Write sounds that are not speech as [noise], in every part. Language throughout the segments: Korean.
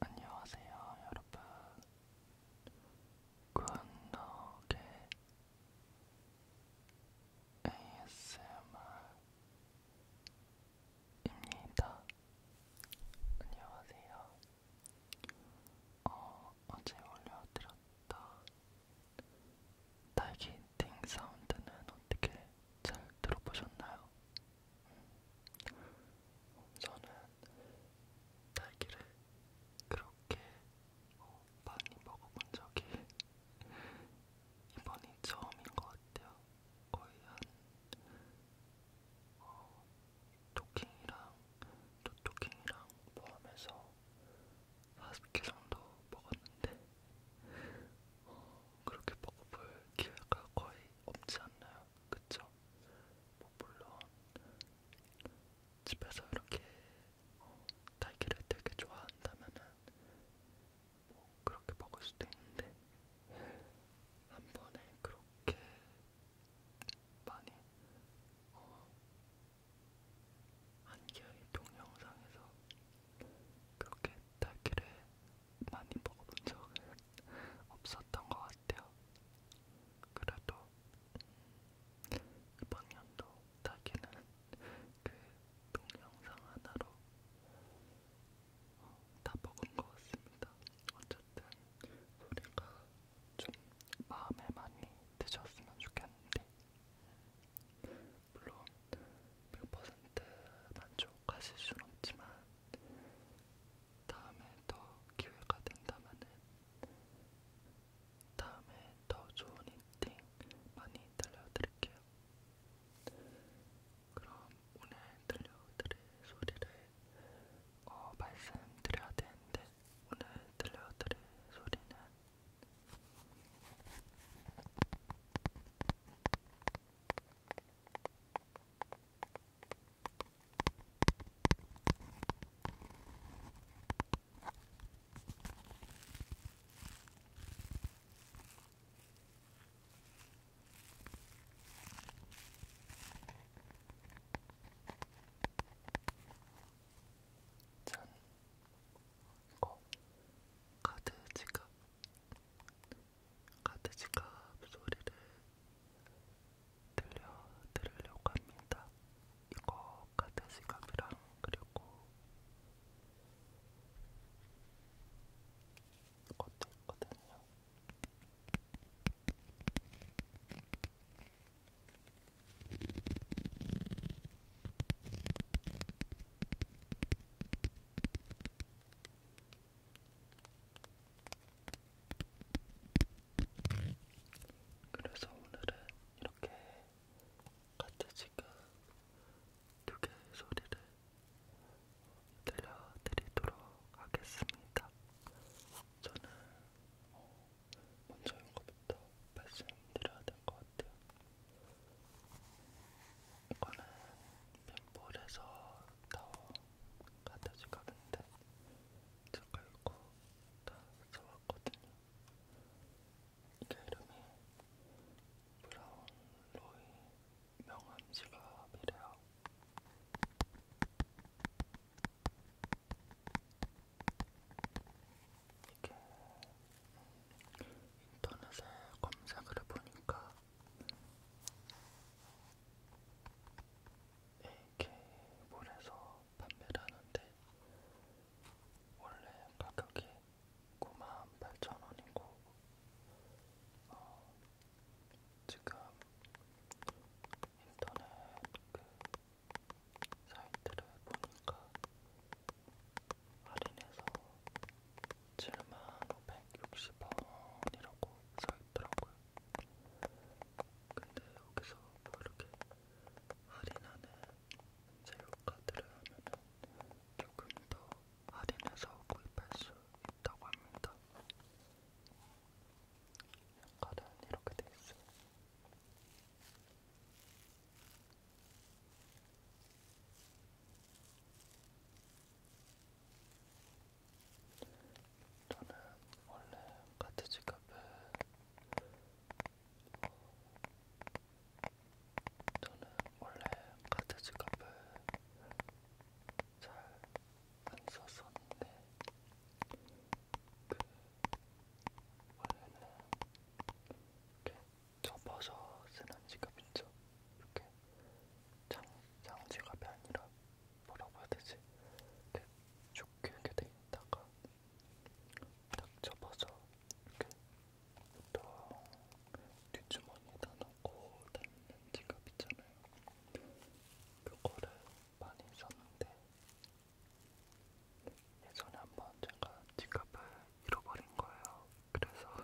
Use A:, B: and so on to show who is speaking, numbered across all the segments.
A: 안녕하세요, 여러분. 굿노게 ASMR입니다. 안녕하세요. 어, 어제 올려드렸다. 딸기 띵 사운드는 어떻게 잘 들어보셨나요? 저는 딸기를 그렇게 어, 많이 먹어본 적이 이번이 처음인 것 같아요. 거의 한 어, 토킹이랑 토토킹이랑 포함해서 40개 정도 먹었는데 어, 그렇게 먹어볼 기회가 거의 없지 않나요? 그쵸? 뭐 물론 집에서 이렇게 어, 딸기를 되게 좋아한다면은 뭐 그렇게 먹을 수도 있는데 한 번에 그렇게 많이 어, 한 개의 동영상에서 그렇게 딸기를 많이 먹어본 적은 없었던 것 같아요. 그래도 이번 연도 딱히는 그 동영상 하나로 어, 다 먹은 것 같습니다. 어쨌든 소리가 좀 마음에 많이 드셨으면 좋겠는데 물론 100% 만족하실 순 없지만 다음에 더 기회가 된다면은 다음에 더 좋은 인팅 많이 들려드릴게요. 그럼 오늘 들려드릴 소리를 어, 말씀드려야 되는데 오늘 들려드릴 소리는 짠! 이거 카드 지갑 카드지갑 소리를 들려드리려고 합니다. 이거 카드지갑이랑 그리고 이것도 있거든요. 그래서 오늘은 이렇게 같이 지금 두 개의 소리를 들려드리도록 하겠습니다. 저는 어, 먼저 이거부터 말씀드려야 될 것 같아요. 이거는 빈볼에서 타워가 다시 가는데 제가 이거 다 써왔거든요. 이게 이름이 브라운 로이 명함 지갑이래요. 이게 인터넷에 검색을 해보니까 AK몰에서 판매를 하는데 원래 가격이 98,000원이고 어, 지금 인터넷 그 사이트를 보니까 할인해서 7만 560원이라고 써있더라고요. 근데 여기서 뭐 이렇게 할인하는 세일카드를 하면은 조금 더 할인해서 구입할 수 있다고 합니다. 카드는 이렇게 돼 있어요. 저는 원래 카트 지갑에 저는 원래 카트 지갑을 잘안 썼었는데 그 원래는 이렇게 접어서 쓰는 지갑 있죠? 이렇게 장, 장지갑이 아니라 뭐라고 해야 되지? 이렇게 좋게 이렇게 돼 있다가 딱 접어서 이렇게 보통 뒷주머니에다 넣고 다니는 지갑 있잖아요. 그거를 많이 썼는데 예전에 한번 제가 지갑을 잃어버린 거예요. 그래서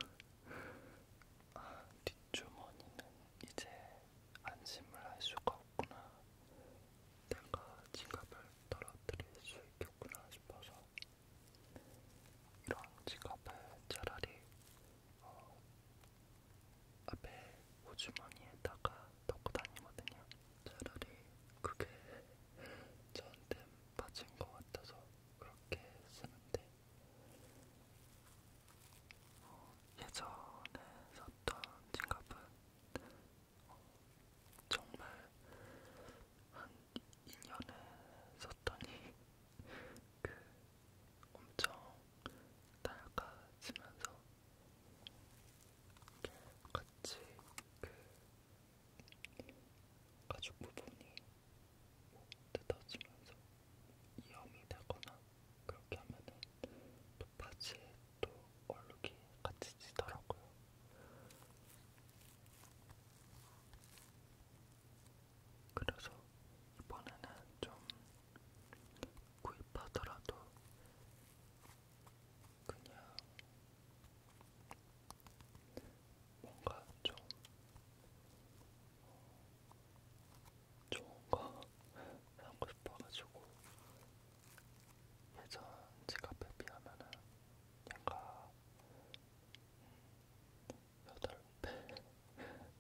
A: 아, 뒷주머니는 이제 안심을 할 수가 없구나. 내가 지갑을 떨어뜨릴 수 있겠구나 싶어서 이런 지갑을 차라리 어, 앞에 호주머니에다가 넣고 다니거든요. 차라리 그게 저한테 맞은 것 같아서 그렇게 쓰는데 어, 예전에 샀던 지갑은 어, 정말 한 2년에 썼더니 [laughs] 그 엄청 낡아지면서 이게 같이 그 가죽 부분이 뭐 뜯어지면서 이염이 되거나 그렇게 하면은 또 바지에 또 얼룩이 같이 지더라고요. 그래서 이번에는 좀 구입하더라도 그냥 뭔가 좀 어, 좋은 거 사고 싶어가지고 예전 지갑에 비하면은 약간 음, 여덟 배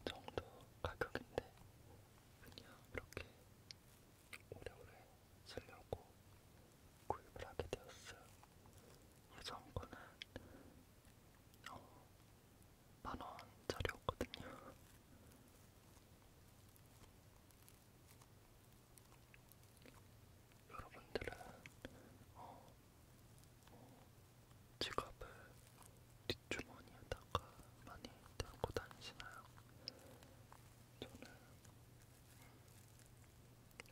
A: 정도 가격인데 그냥 이렇게 오래오래 쓰려고 구입을 하게 되었어요. 예전 거는 어, 만원짜리였거든요. 여러분들은 어, 뭐 지갑을 뒷주머니에다가 많이 들고 다니시나요? 저는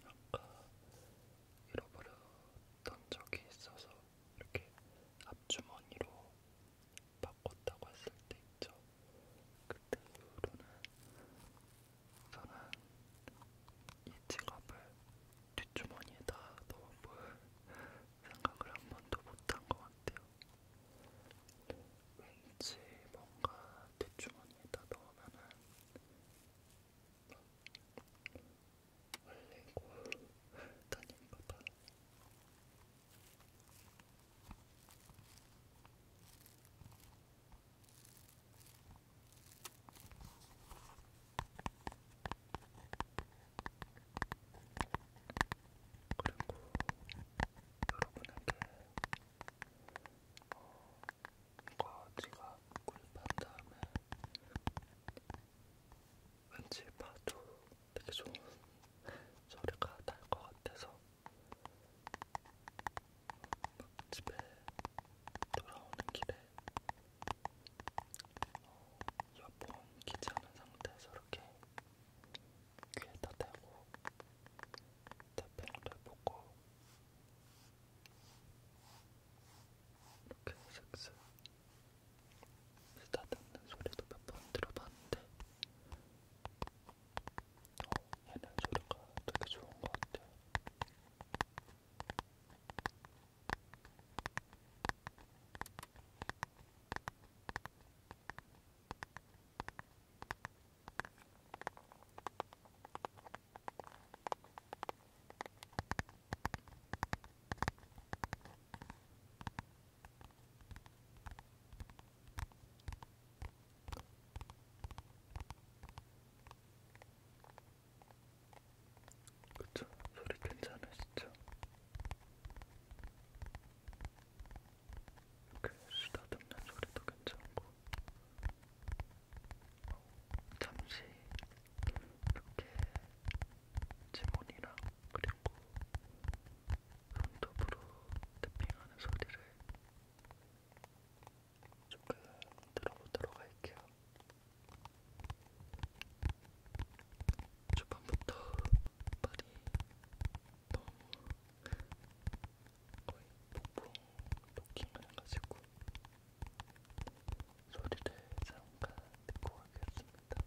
A: 아까 잃어버렸던 적이 있어서 이렇게 앞주머니로 바꿨다고 했을 때 있죠. 그때 이후로는 저는 이 지갑을 뒷주머니에다 넣어볼 생각을 한 번도 못한 것 같아요. 왠지 뭔가 뒷주머니에다 넣으면은 흘리고 다닌 것 같아요. 그리고 여러분에게 거지가 어, 구입한 다음에 왠지 봐도 되게 좋은 소리가 날 것 같아서 집에 돌아오는 길에 어, 이어폰 끼지 않은 상태에서 이렇게 귀에다 대고 탭핑을 해보고 이렇게 슥슥 쓰다듬는 소리도 몇 번 들어봤는데 얘는 어, 소리가 되게 좋은 것 같아요. 음. 그쵸? 소리 괜찮으시죠? 이렇게 쓰다듬는 소리도 괜찮고 어, 잠시 이렇게 지문이랑 그리고 손톱으로 탭핑하는 소리를 조금 들어보도록 할게요. 초반부터 발이 너무 거의 폭풍 토킹을 해가지고 소리를 잠깐 듣고 가겠습니다.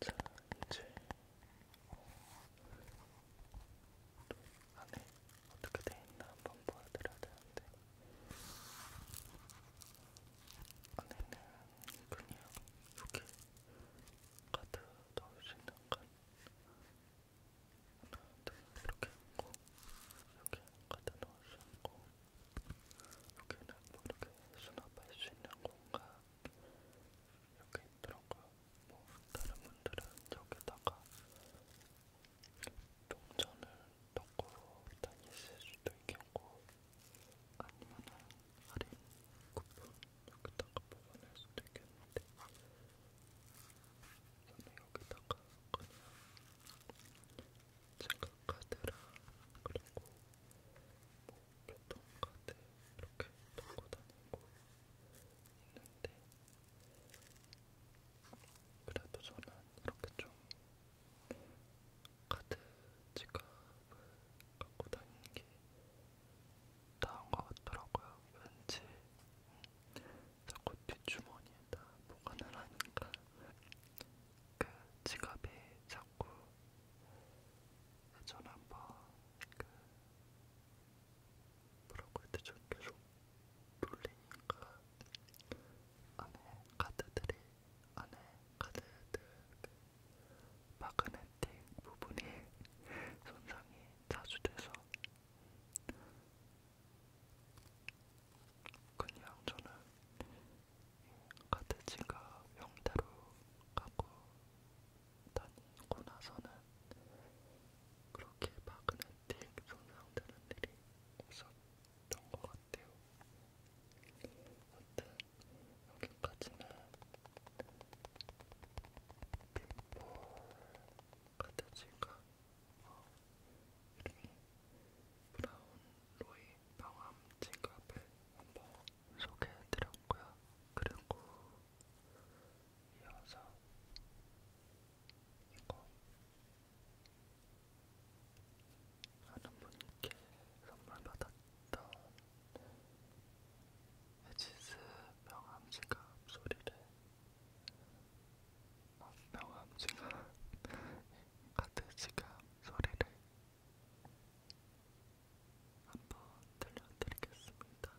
A: 자, 이제 안에 어떻게 돼 있나 한번 보여드려야 되는데 안에는 그냥 이렇게 카드 넣을 수 있는 칸 하나, 둘 이렇게 있고 여기 카드 넣을 수 있고 여기는 뭐 이렇게 수납할 수 있는 공간 이렇게 있더라고요. 뭐 다른 분들은 여기다가 동전을 넣고 다니실 수도 있겠고 아니면은 할인 쿠폰 여기다가 뽑아낼 수도 있겠는데 저는 여기다가 그냥 생각카드랑 그리고 뭐 교통카드 이렇게 들고 다니고 있는데 그래도 저는 이렇게 좀 카드 지갑을 갖고 다니는 게 나온 것 같더라고요. 왠지 자꾸 뒷주머니에다 보관을 하니까 그 지갑이 자꾸 예전에 한번 그 뭐라고 해야 되죠? 계속 돌리니까 안에 카드들이 안에 카드들 그 마그네틱 부분이 손상이 자주 돼서 그냥 저는 같은 지갑 형태로 갖고 다니고 나서는 그렇게 마그네틱 손상되는 일이 없었던 것 같아요. 어떤 여기까지는 핀볼 카드지가 어, 이름이 브라운 로이 방암 지갑을 한번 소개해드렸고요. 그리고 이어서 이거 아는 분께 선물 받았죠. 어떤 에지스 명암지갑 소리를 아, 명암지갑 [laughs] 같은 지갑 소리를 한번 들려드리겠습니다.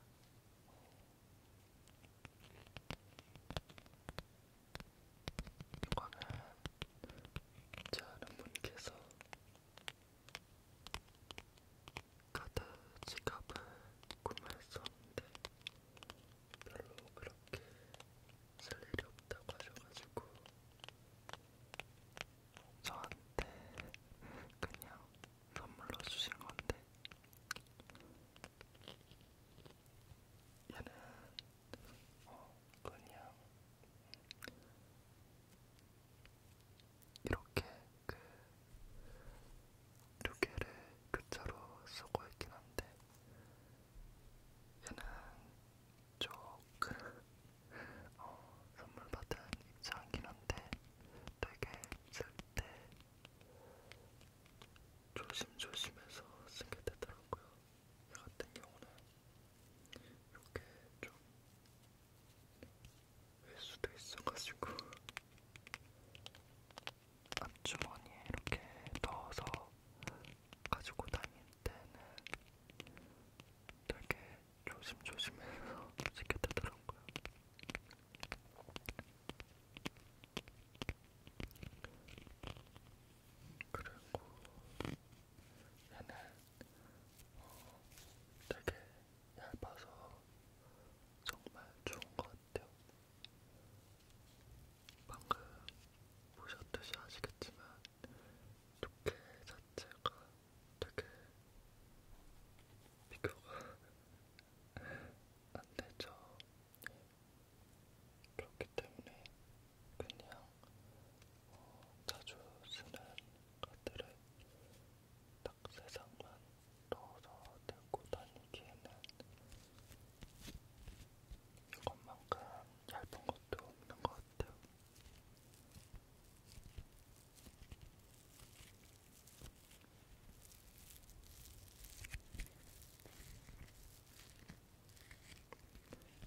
A: 이거는 제 아는 분께서 카드 지갑을 구매했었는데 별로 그렇게 쓸 일이 없다고 하셔가지고 저한테 그냥 선물로 주신 건데 얘는 어 그냥 이렇게 두 개를 교차로 쓰고 있긴 한데 얘는 조금 어, 선물 받은 입장이긴 한데 되게 쓸 때 조심조심해서 쓰게 되더라고요. 저 같은 경우는 이렇게 좀 수도 있어가지고 앞주머니에 이렇게 넣어서 가지고 다닐 때는 되게 조심조심해서 [laughs] 지켜 되더라고요. 그리고 얘는 어, 되게 얇아서 정말 좋은 것 같아요. 방금 보셨듯이 아시겠지만 두께 자체가 되게 비교가 안 되죠. 그렇기 때문에 그냥 어, 자주 쓰는 카드를 딱세 장만 넣어서 들고 다니기에는 이것만큼 얇은 것도 없는 것 같아요.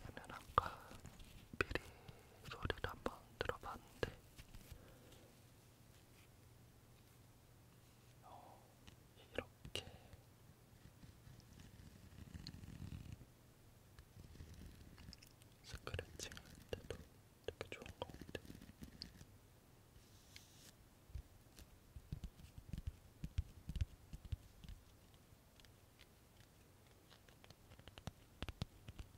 A: 얘는 아까 미리 소리를 한번 들어봤는데 어, 이렇게 스크래칭 할 때도 되게 좋은 것 같아요.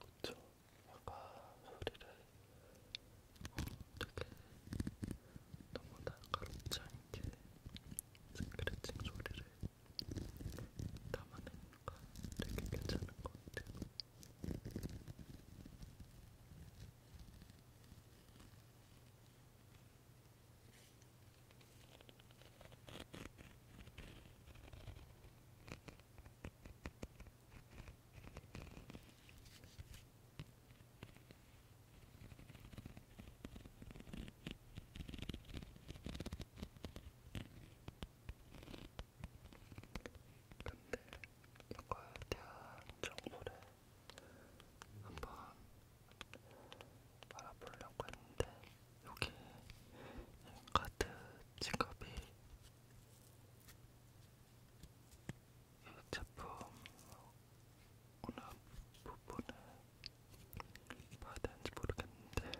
A: 그쵸? 약간 소리를 어, 되게 너무 날카롭지 않게 스크래칭 소리를 담아내니까 되게 괜찮은 것 같아요. 근데 이거에 대한 정보를 한번 알아보려고 했는데 여기 카드 지갑이 이 제품 어느 부분에 봐야 되는지 모르겠는데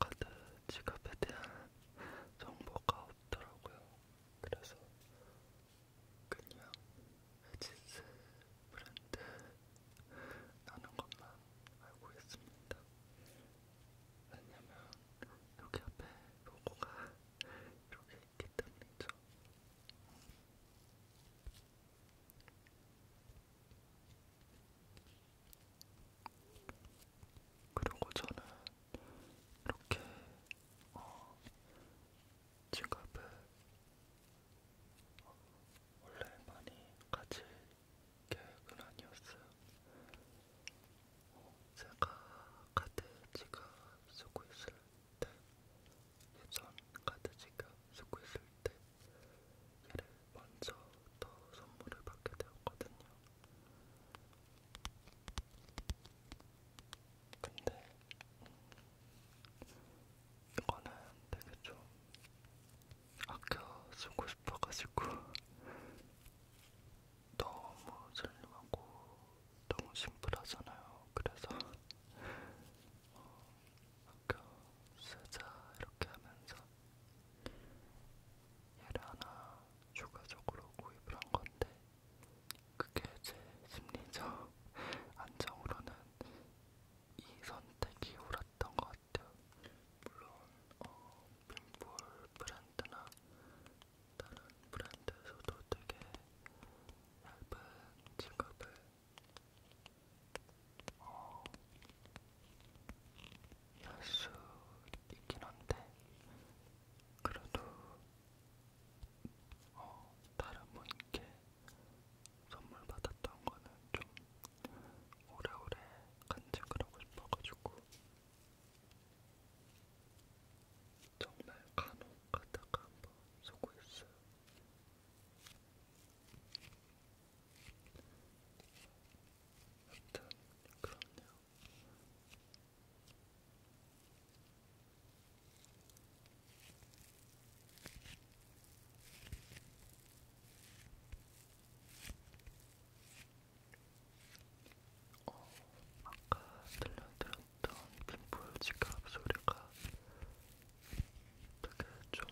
A: 카드 지갑에 대한 정보가 없더라고요. 그래서 그냥 에지스 브랜드 나는 것만 알고 있습니다. 왜냐면 여기 앞에 로고가 이렇게 있기 때문이죠. 그리고 저는 이렇게 어, 지갑을 어, 원래 많이 가질 계획은 아니었어요. 어, 제가 카드 지갑 쓰고 있을 때, 예전 카드 지갑 쓰고 있을 때 얘를 먼저 더 선물을 받게 되었거든요. 근데 이거는 되게 좀 아껴 쓰고 싶어가지고 [laughs] 너무 슬림하고 너무 심플하잖아요. 그래서 어, 아껴 쓰자 이렇게 하면서 얘를 하나 추가적으로 구입을 한 건데 그게 제 심리적 안정으로는 이 선택이 옳았던 것 같아요. 물론 어, 빔볼 브랜드나 다른 브랜드에서도 되게 얇은 지갑을 어, 수 있긴 한데 그래도 어, 다른 분께 선물 받았던 거는 좀 오래오래 간직을 하고 싶어가지고 정말 간혹 가다가 한번 쓰고 있어요. 아무튼 그럼요. 어, 아까 들려드렸던 빈풀 지갑 소리가 되게 좀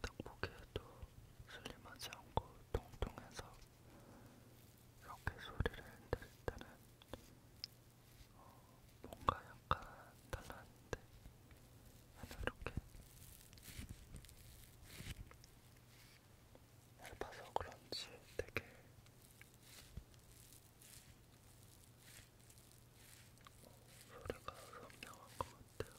A: 딱 보기에도 슬림하지 않고 통통해서 이렇게 소리를 들을 때는 어, 뭔가 약간 달랐는데 그냥 이렇게 얇아서 그런지 되게 소리가 선명한 것 같아요.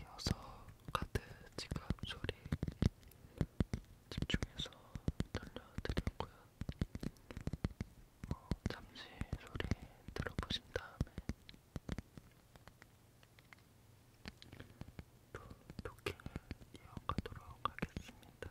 A: 이어서 카드 지갑 소리 집중해서 들려드리고요. 어, 잠시 소리 들어보신 다음에 또 토킹을 이어가도록 하겠습니다.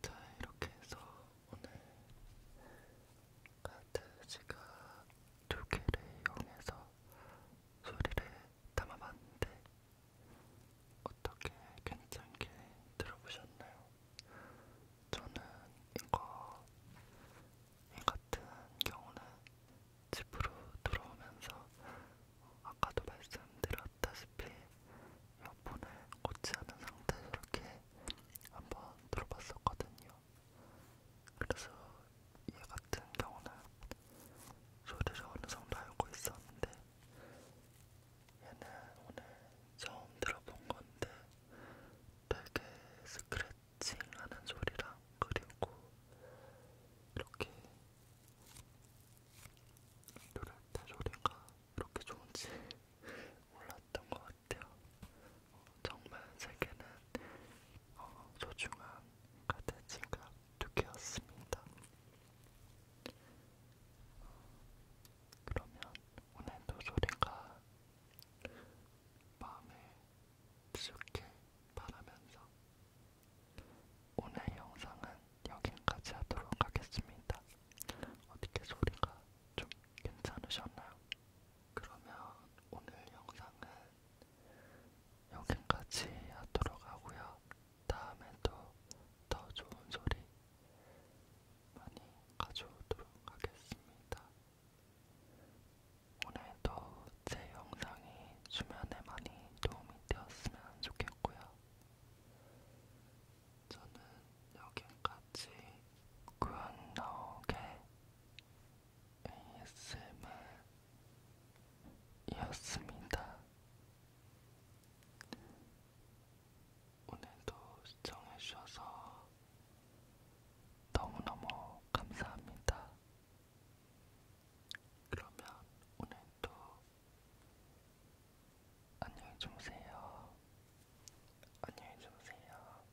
A: 자, 이렇게 해서 오늘 카드 지갑 두 개를 이용해서 소리를 담아봤는데 어떻게 괜찮게 들어보셨나요? 저는 이거 이 같은 경우는 집으로 들어오면서 아까도 말씀드렸다시피 이어폰을 꽂지 않은 상태에서 이렇게 한번 들어봤었거든요. 그래서 얘 같은 경우는 소리를 어느 정도 알고 있었는데 얘는 오늘 처음 들어본 건데 되게 스크래칭하는 소리랑 그리고 이렇게 누를 때 소리가 이렇게 좋은지 [laughs] 몰랐던 것 같아요. 어, 정말 제게는 어, 소중한 같은 지갑 두 개였습니다. 그러면 오늘도 소리가 마음에 드셨길 바라면서 오늘 영상은 여기까지 하도록 하겠습니다. 어떻게 소리가 좀 괜찮으셨나요? 그러면 오늘 영상은 여기까지 하도록 하고요. 다음에도 더 좋은 소리 많이 가져오도록 하겠습니다. 오늘도 제 영상이 주변에 많이 도움이 되었으면 좋겠고요. 저는 여기까지 구현나오게 ASMR이었습니다. 오늘도 시청해주셔서 너무너무 감사합니다. 그러면 오늘도 안녕히 주무세요. 안녕히 주무세요.